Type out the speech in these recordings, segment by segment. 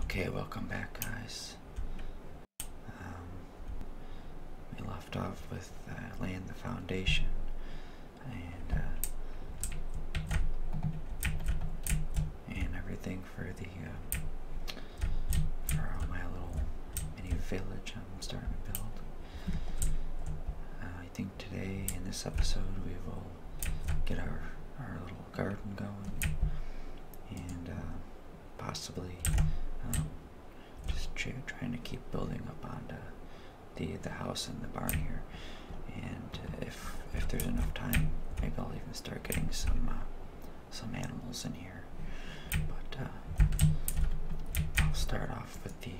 Okay, welcome back, guys. Um, we left off with uh, laying the foundation, and uh, and everything for the uh, for my little mini village I'm starting to build. I think today in this episode we will get our our little garden going, and uh, possibly um, just trying to keep building up onto the, the house and the barn here. And uh, if if there's enough time, maybe I'll even start getting some uh, some animals in here. But I'll start off with the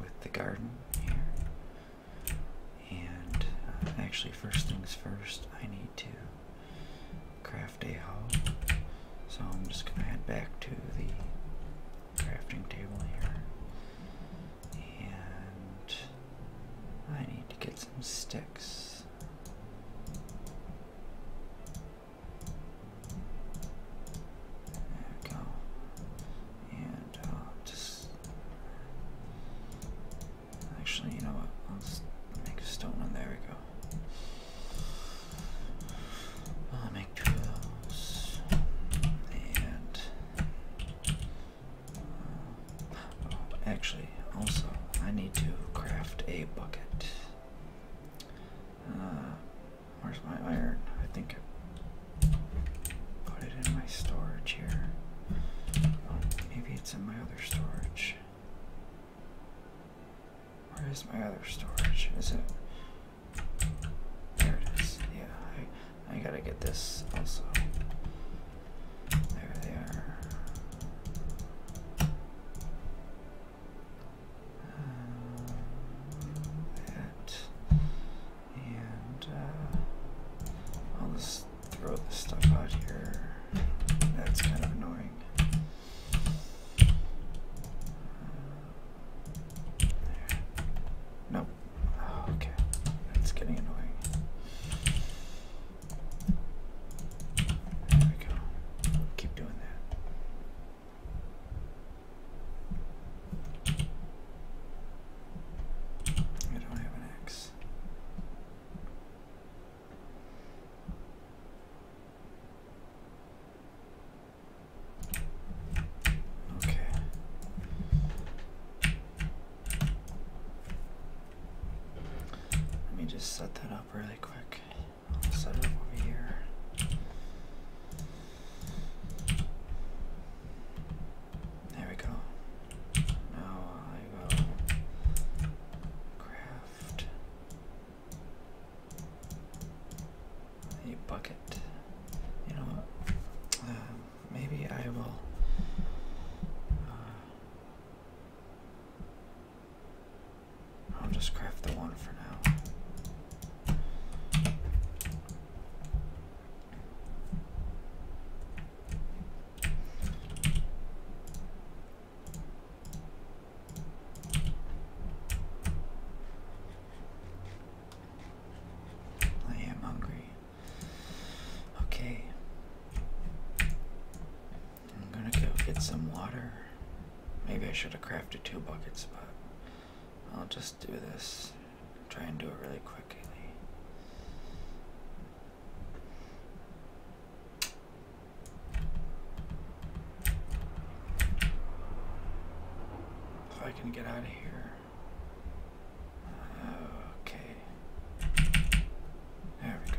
with the garden here. And uh, actually, first things first, I need to craft a hall. So I'm just going to head back to the crafting table here. And I need to get some sticks. There we go. And uh, just Actually, you know what? I'll just make a stone one. There we go. I'll make two And. Uh, actually, also, I need to craft a bucket. Uh, where's my iron? I think I put it in my storage here. Oh, maybe it's in my other storage? Where is my other storage? Is it? There it is. Yeah, I, gotta get this also. There they are. Um, that and uh, all this throw this stuff out here. That's kind of annoying. There. Nope. Oh, okay. That's getting annoying. There we go. Keep doing that. I don't have an axe. Okay. Let me just set that up really quick. set up over here. There we go. Now I will craft a bucket. You know um, maybe I will. Uh, I'll just craft the one for now. I am hungry. Okay. I'm gonna go get some water. Maybe I should have crafted two buckets, but I'll just do this. Try and do it really quickly. If I can get out of here. Okay. There we go.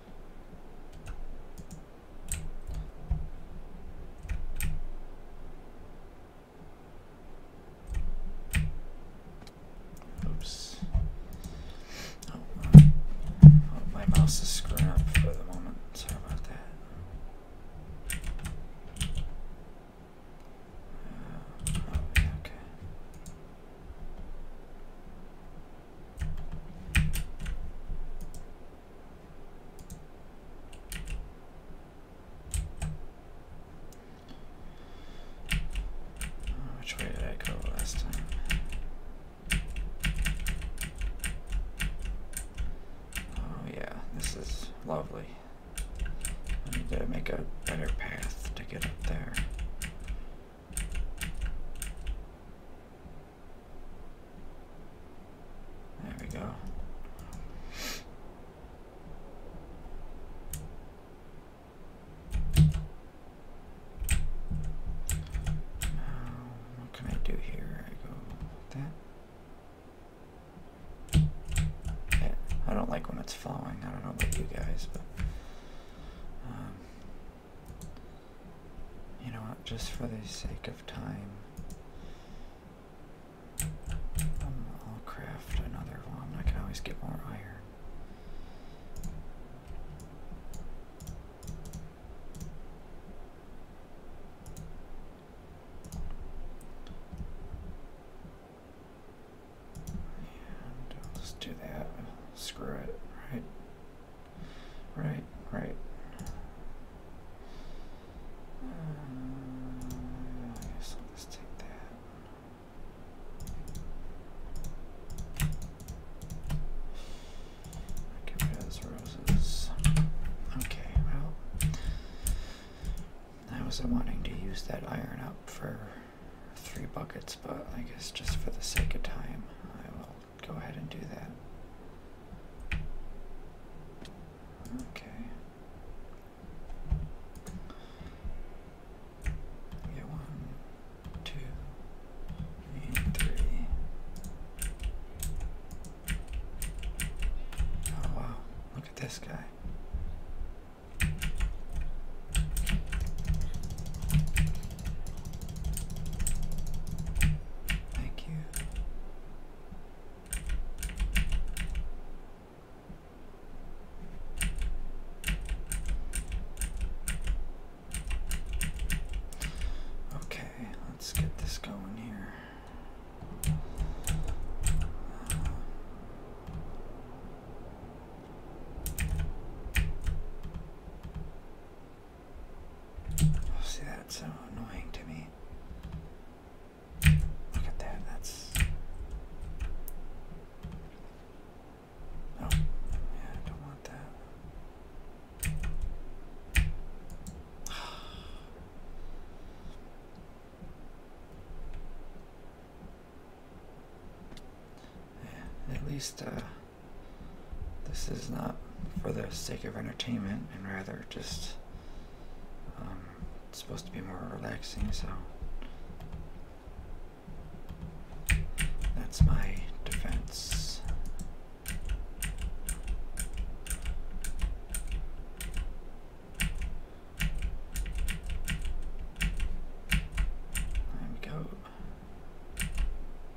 Oops. Oh, uh, my mouse is screwing up for the moment. Sorry about that. Uh, oh, okay. Oh, which way did I go last time? Oh yeah, this is lovely. I need to make a better path to get up there. There we go. like when it's flowing. I don't know about you guys, but um, you know what, just for the sake of time, um, I'll craft another one. I can always get more iron. And i do that. Screw it, right? Right, right. Um, so let's take that. Get rid those roses. Okay, well, I was wanting to use that iron up for three buckets, but I guess just for the sake of time, I will go ahead and do that. Okay. Yeah, one, two, and three. Oh wow, look at this guy. Thank you. Okay, let's get this going here. Oh, see, that's so annoying to me. Look at that, that's. Oh, yeah, I don't want that. at least, uh, this is not for the sake of entertainment and rather just um, supposed to be more relaxing so that's my defense there we go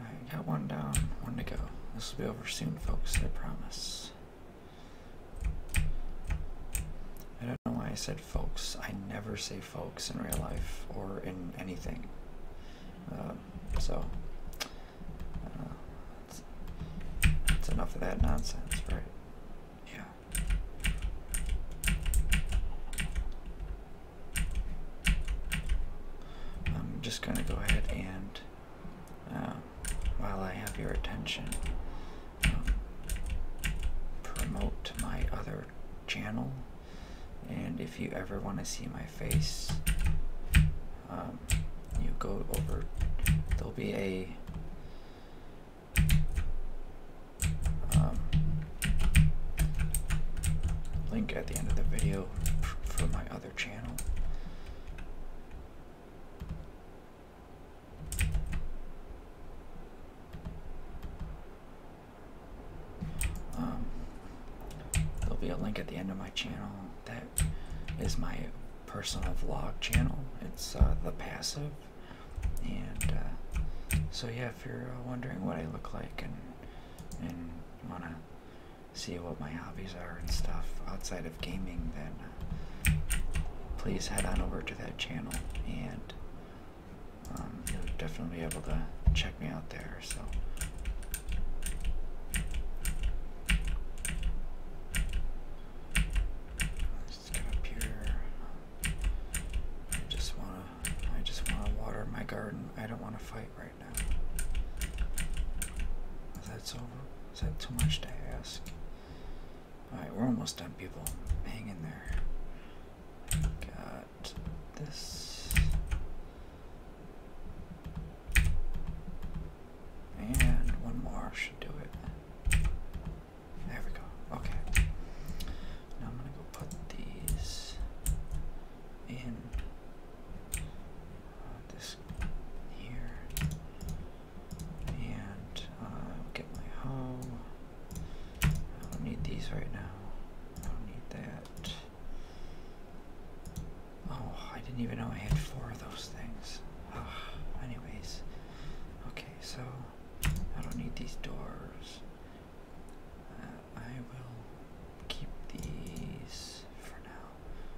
I got one down, one to go. This will be over soon, folks, I promise. I don't know why I said folks. I never say folks in real life or in anything. Um, so, uh, that's, that's enough of that nonsense, right? Yeah. I'm just going to go ahead and, uh, while I have your attention, um, promote my other channel. And if you ever want to see my face, um, you go over. There'll be a um, link at the end of the video for my other channel. Um, there'll be a link at the end of my channel that is my personal vlog channel. It's uh, The Passive. And uh, so, yeah, if you're uh, wondering what I look like and, and want to see what my hobbies are and stuff outside of gaming, then uh, please head on over to that channel and um, you'll definitely be able to check me out there. So. Let's get up here. I just wanna, I just wanna water my garden. I don't wanna fight that's over. Is that too much to ask? Alright, we're almost done, people. Hang in there. Got this. And one more should do it. There we go. Okay. Now I'm gonna go put these in uh, this here, and i uh, get my hoe. I don't need these right now. I don't need that. Oh, I didn't even know I had four of those things. Ah, anyways, okay, so I don't need these doors. Uh, I will keep these for now.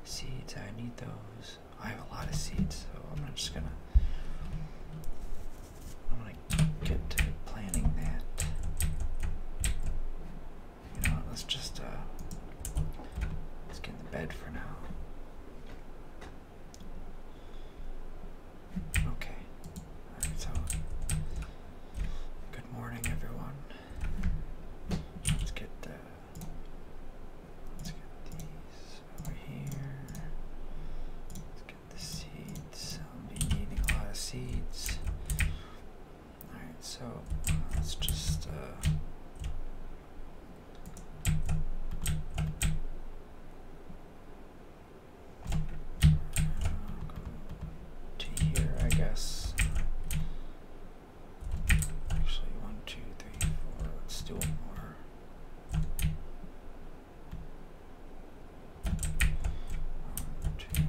Seeds, I need those. I have a lot of seeds, so I'm just gonna. I'm gonna get to planning that. You know, let's just uh, let's get in the bed for now. Okay. so good morning, everyone. Let's get uh, Let's get these over here. Let's get the seeds. I'll be needing a lot of seeds. Alright, so let's just. Uh, to here, I guess. Actually, one, two, three, four. Let's do one more. One, two, three, four. One, two, three, four.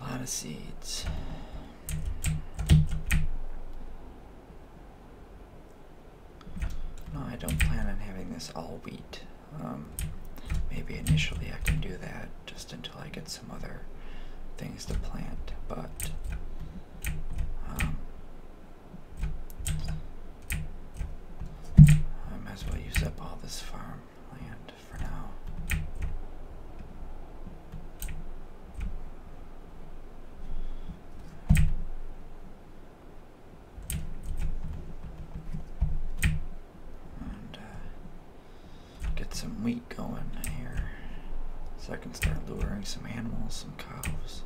A lot of seeds. No, I don't plan on having this all wheat. Um, maybe initially I can do that just until I get some other things to plant, but um, I might as well use up all this farm land. And uh, get some wheat going here so I can start luring some animals, some cows.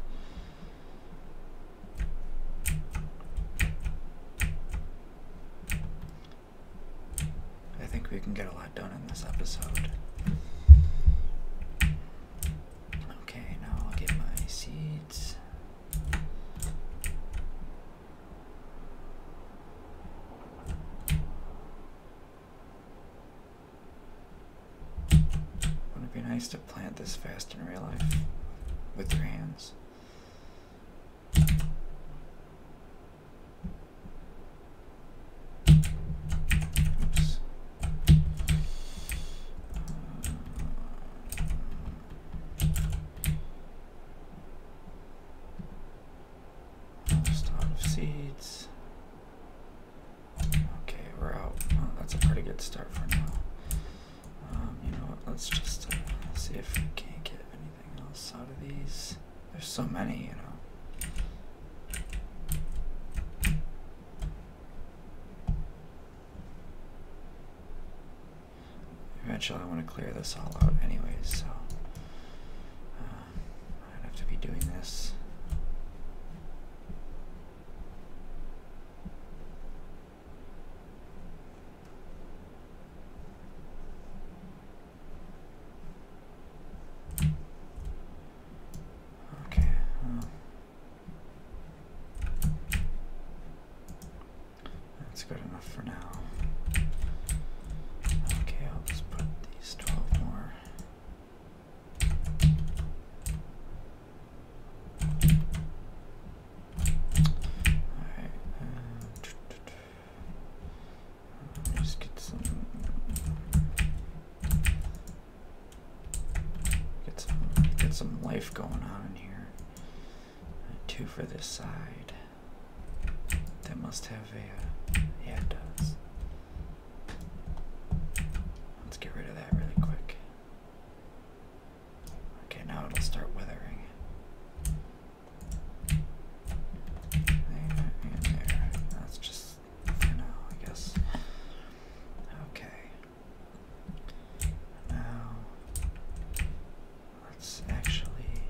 I think we can get a lot done in this episode. Okay, now I'll get my seeds. Wouldn't it be nice to plant this fast in real life with your hands? Start of seeds. Okay, we're out. that's a pretty good start for now. Um, you know Let's just uh, see if we can't get any out of these? There's so many, you know. Eventually, I want to clear this all out, anyways, so um, I'd have to be doing this. Okay. Uh, that's good enough for now. Okay, I'll just put these 12 more. Alright. Uh, just get some. Get some. Get some life going on in here. Uh, two for this side. That must have a. Uh, yeah, it does. Let's get rid of that really quick. Okay, now it'll start withering and That's just for now, I guess. Okay. Now, let's actually.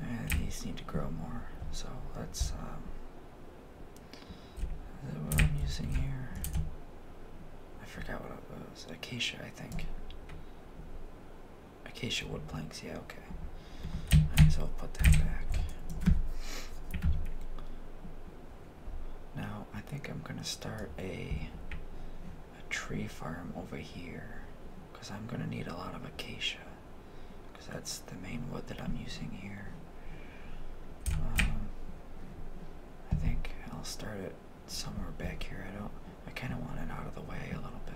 And uh, these need to grow more, so let's. Um, is that what I'm using here? I forgot what it was. Acacia, I think. Acacia wood planks, yeah, okay. so I'll put that back. Now, I think I'm gonna start a, a tree farm over here. Because I'm gonna need a lot of acacia. Because that's the main wood that I'm using here. Um, I think I'll start it somewhere back here. I don't. I kind of want it out of the way a little bit.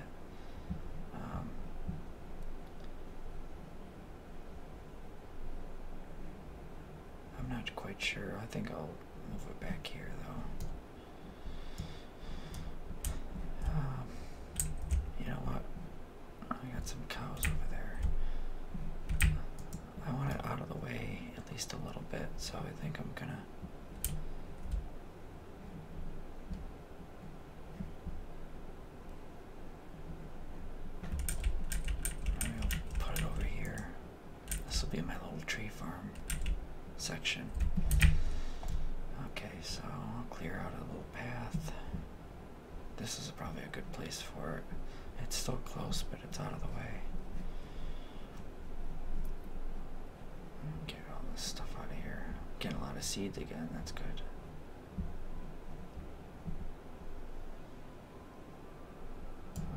Um, I'm not quite sure. I think I'll move it back here though. Um, you know what? I got some cows over there. I want it out of the way at least a little bit, so I think I'm gonna put it over here. This will be my little tree farm section. Okay, so I'll clear out a little path. This is probably a good place for it. It's still close, but it's out of the way. Get all this stuff out of here. Get a lot of seeds again, that's good.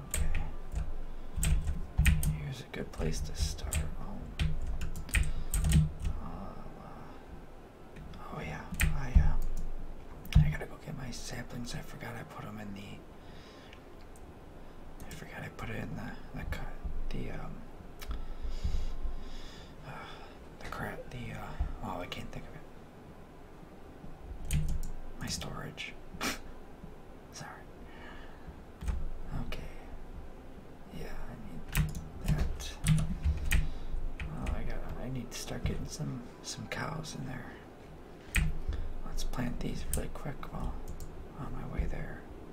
Okay. Here's a good place to start. Oh, oh yeah, I uh, I gotta go get my saplings. I forgot I put them in the I forgot I put it in the the um uh, the crap the uh oh I can't think of it. My storage. Sorry. Okay. Yeah, I need that. oh I got. I need to start getting some some cows in there. Let's plant these really quick while on my way there.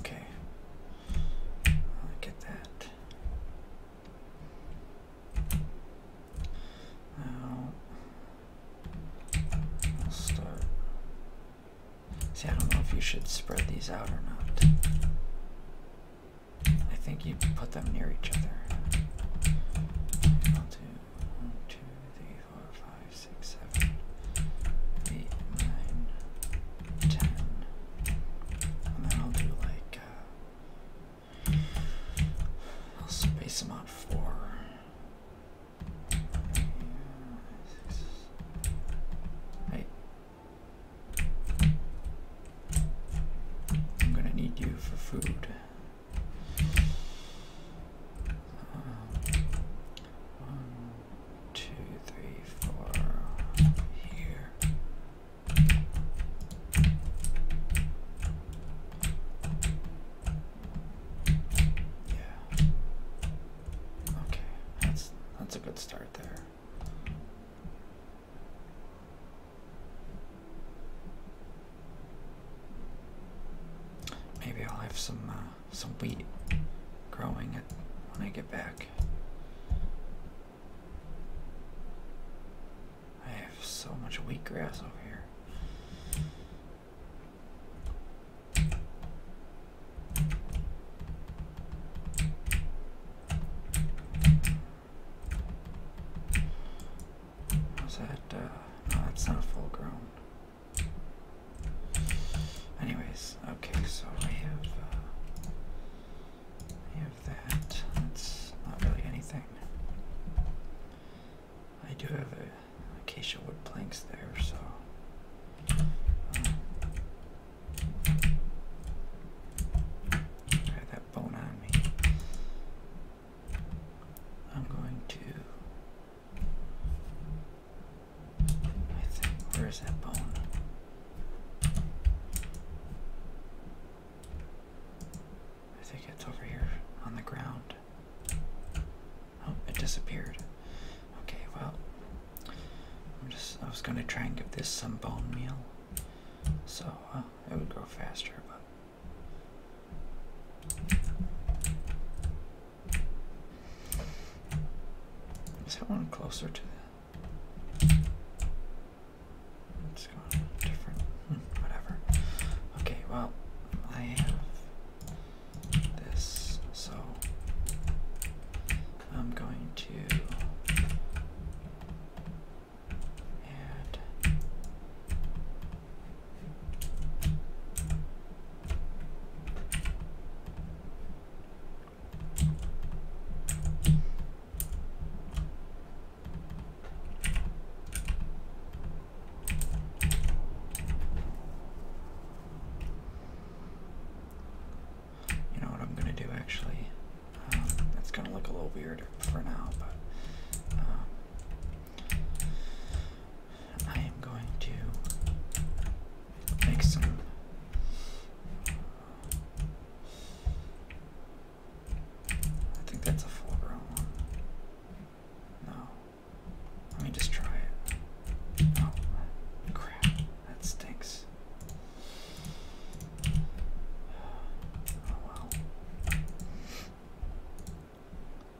Okay. get that. Now, I'll start. See, I don't know if you should spread these out or not. I think you put them near each other. I'll do one, two, three, four, five, six, seven, eight, nine, ten. And then I'll do like uh, I'll space them out four. Hey. I'm gonna need you for food. One, two, three, four here. Yeah. Okay, that's that's a good start there. Maybe I'll have some uh, some wheat growing it when I get back. I have so much wheat grass over here. Is that, uh, no, that's not full grown. Anyways, okay, so I have, uh, I have that. That's not really anything. I do have a acacia wood planks there, so. Um, I had that bone on me. I'm going to. I think, where is that bone? I think it's over here on the ground. Oh, it disappeared. Okay, well, I'm just, I was gonna try and give this some bone meal so uh, it would grow faster, but is that one closer to the... It's going different. Hmm, whatever. Okay, well, I have this, so I'm going to and you know what I'm going to do actually? Um, going to look a little weird for now, but um, I am going to make some I think that's a full grown one. No. Let me just try it. Oh crap. That stinks. Oh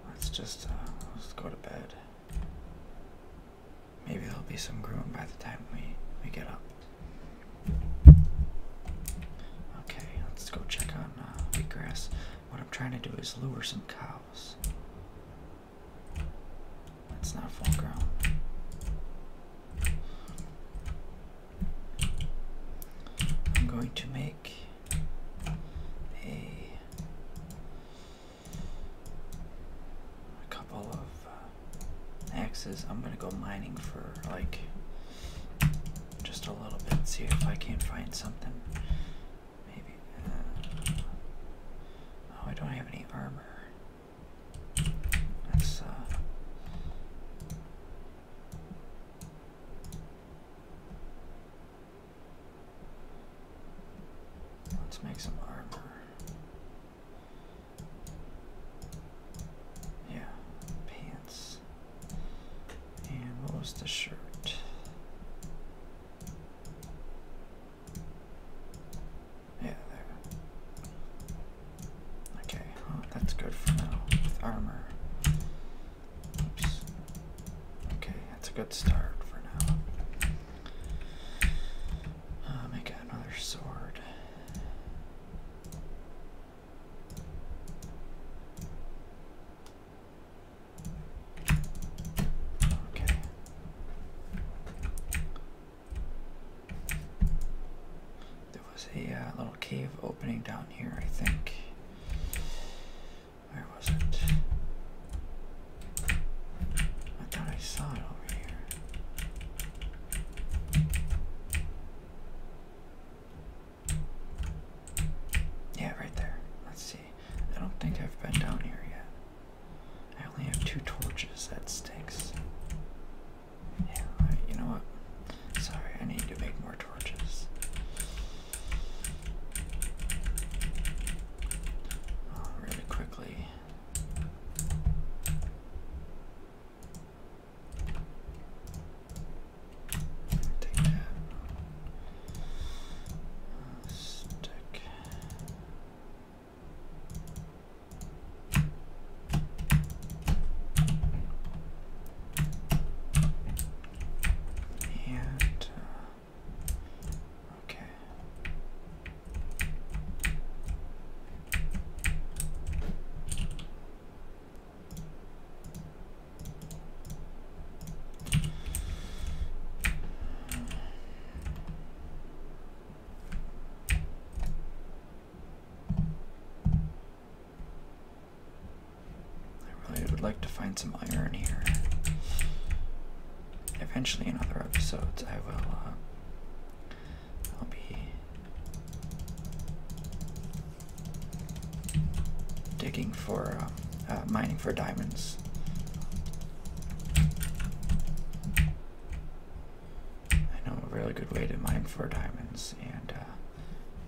Let's just uh, let's go to bed. Maybe there'll be some groom by the time we we get up. Okay, let's go check on uh, wheatgrass. What I'm trying to do is lure some cows. That's not full ground. I'm going to make a, couple of axes. Uh, I'm gonna go mining for like just a little bit, see if I can find something. Maybe. Uh, oh, I don't have any armor. That's uh. Let's make some armor. Yeah, pants. And what was the shirt? Yeah, there. Okay, oh, that's good for now with armor. Oops. Okay, that's a good start for now. Uh, make another sword. Okay. There was a uh, little cave opening down here, I think. Where was it? I thought I saw it over here. Yeah, right there. Let's see. I don't think I've been down here yet. I only have two torches. That stinks. Yeah, you know what? Sorry, I need to make more torches really quickly. stick. And uh, okay. I really would like to find some iron here. Eventually, in other episodes, I will. Uh, I'll be digging for um, uh, mining for diamonds. I know a really good way to mine for diamonds, and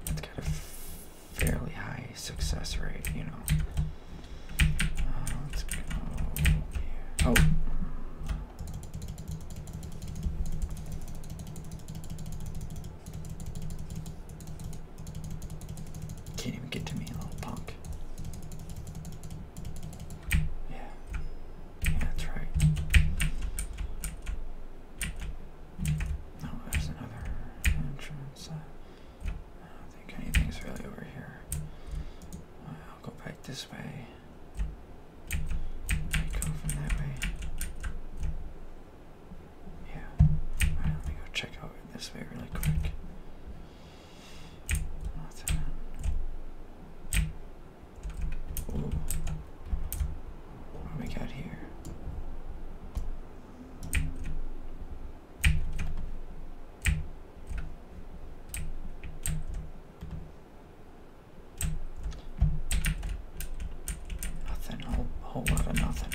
it's uh, kind of fairly high success rate, you know. Uh, let's go Oh. Can't even get to me, little punk. Yeah. that's right. Oh, there's another entrance. Uh, I don't think anything's really over here. I'll go back this way. I go from that way. Yeah. Alright, let me go check out this way really quick. What's that? Ooh. What do we got here? Nothing, a whole, lot of nothing.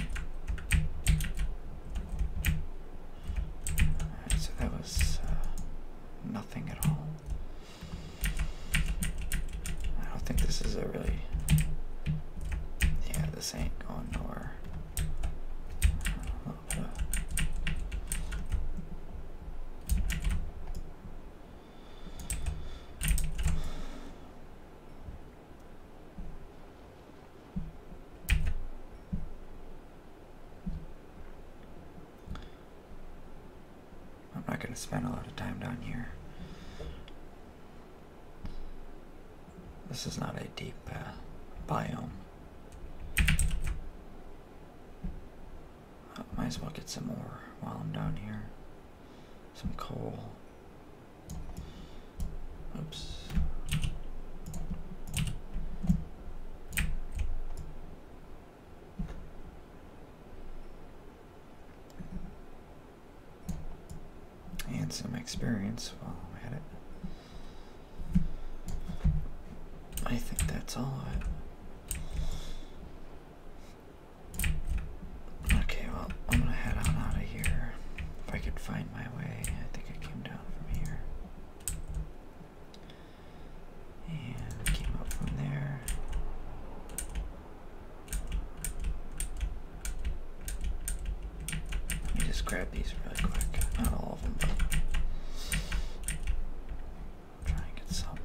so that was uh, nothing at all. I don't think this is a really. Yeah, this ain't going nowhere. I'm not going to spend a lot of time down here. This is not a deep uh, biome. Uh, might as well get some more while I'm down here. Some coal. Oops and some experience while I'm at it. I think that's all of it. Okay, well, I'm gonna head on out of here. If I could find my way, I think I came down from here. And came up from there. Let me just grab these real quick. Not all of them, but try and get some.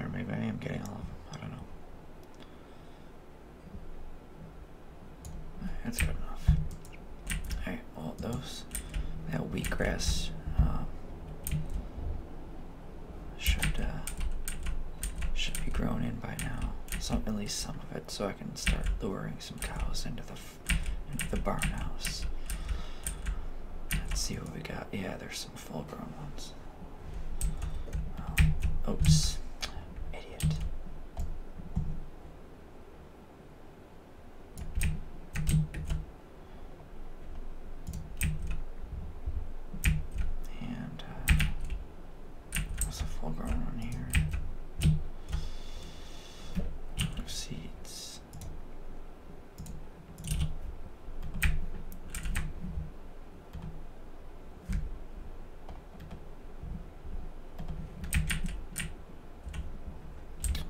Or maybe I am getting all of them. I don't know. That's good enough. All those, that wheatgrass um, should, uh, should be grown in by now. Some, at least some of it, so I can start luring some cows into the, into the barn house. Let's see what we got. Yeah, there's some full grown ones. Um, oops idiot. And uh, there's a full grown one here. Of seeds.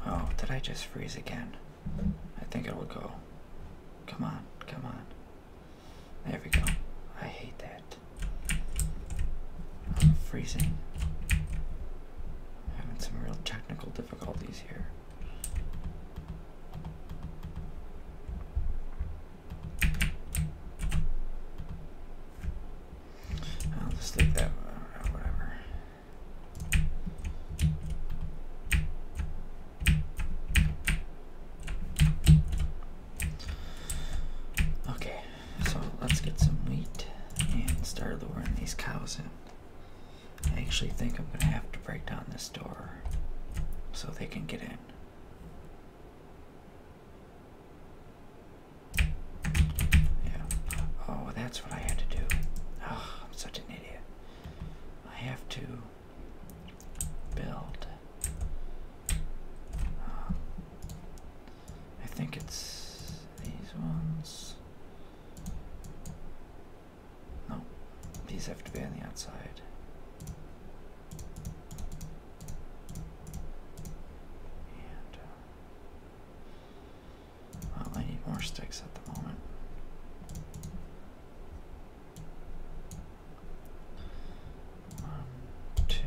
Oh, did I just freeze again? I think it will go. Come on, come on. There we go. I hate that. I'm freezing. I'm having some real technical difficulties here. I'll just leave that uh, whatever. Okay, so let's get some wheat and start luring these cows in. I actually think I'm going to have to break down this door so they can get in. Yeah. Oh, that's what I had to do. Ah, I'm such an idiot. I have to build. Um, I think it's these ones. No, these have to be on the outside. Uh, I need more sticks at the moment. One, two.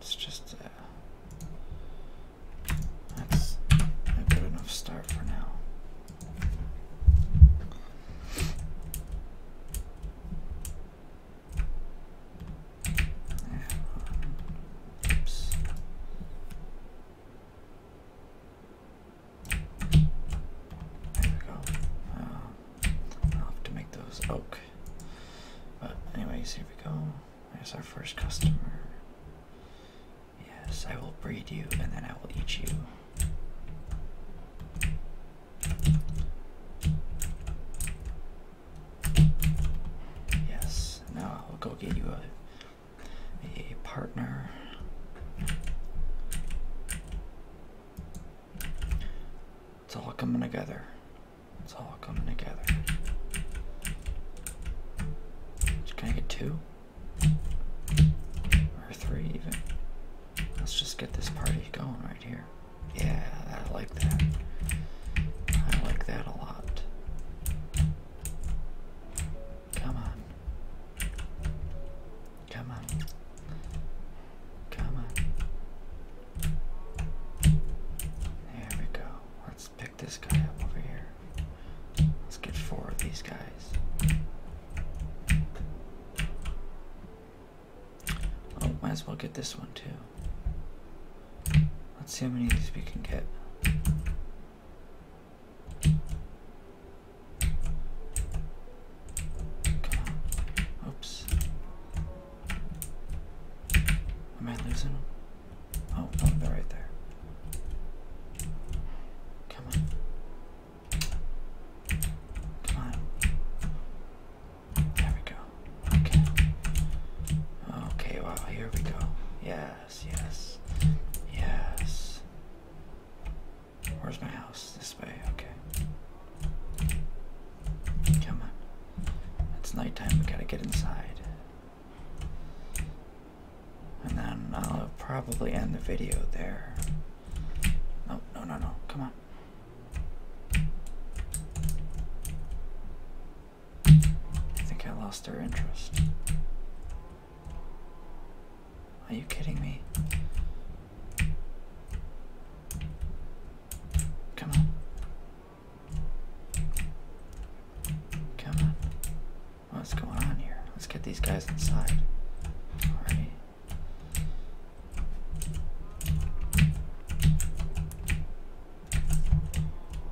It's just uh, a good enough start for now. Oops. There we go. I'll have to make those oak. But anyways, here we go. There's our first customer. Yes, I will breed you and then I will eat you. Yes, now I'll go get you a, a partner. It's all coming together. It's all coming together. Can I get two? Or three, even. Let's just get this party going right here. Yeah, I like that. I like that a lot. Come on. Come on. Come on. There we go. Let's pick this guy up over here. Let's get four of these guys. Oh, might as well get this one too. Let's see how many of these we can get. Oops. Am I losing them? Oh, they're right there. Come on. Come on. There we go. Okay. Okay, well, here we go. Yes, yes, yes. Where's my house? This way, okay. Come on. It's nighttime, we gotta get inside. And then I'll probably end the video there. No, no, no, no. Come on. I think I lost their interest. Are you kidding me? Come on. Come on. What's going on here? Let's get these guys inside. Alrighty.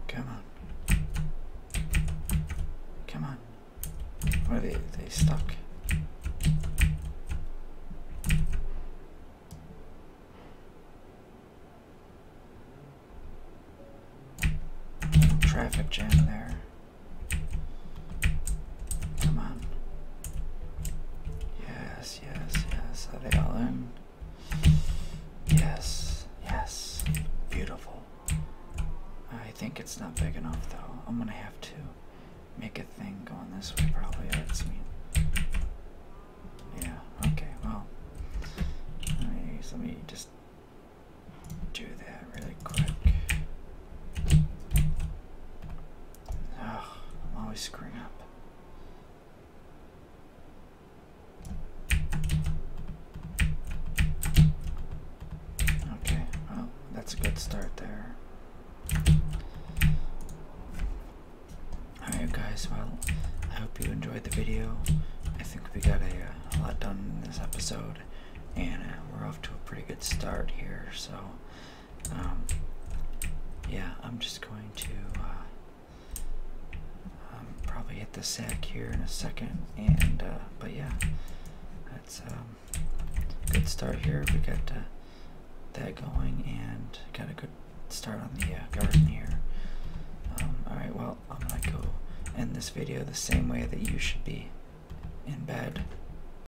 Come on. Come on. What are They stuck. Traffic jam there. Come on. Yes, yes, yes. Are they all in? Yes, yes. Beautiful. I think it's not big enough though. I'm gonna have to make a thing going this way probably. That's me. Yeah, okay, well. let me just do that really quick. Oh, I'm always screwing up. Okay, well, that's a good start there. Alright, guys, well, I hope you enjoyed the video. I think we got a, uh, lot done in this episode, and uh, we're off to a pretty good start here, so. Um, yeah, I'm just going to uh, um, probably hit the sack here in a second. And uh, but yeah, that's a um, good start here. We got uh, that going and got a good start on the garden here. all right, well I'm gonna go end this video the same way that you should be in bed.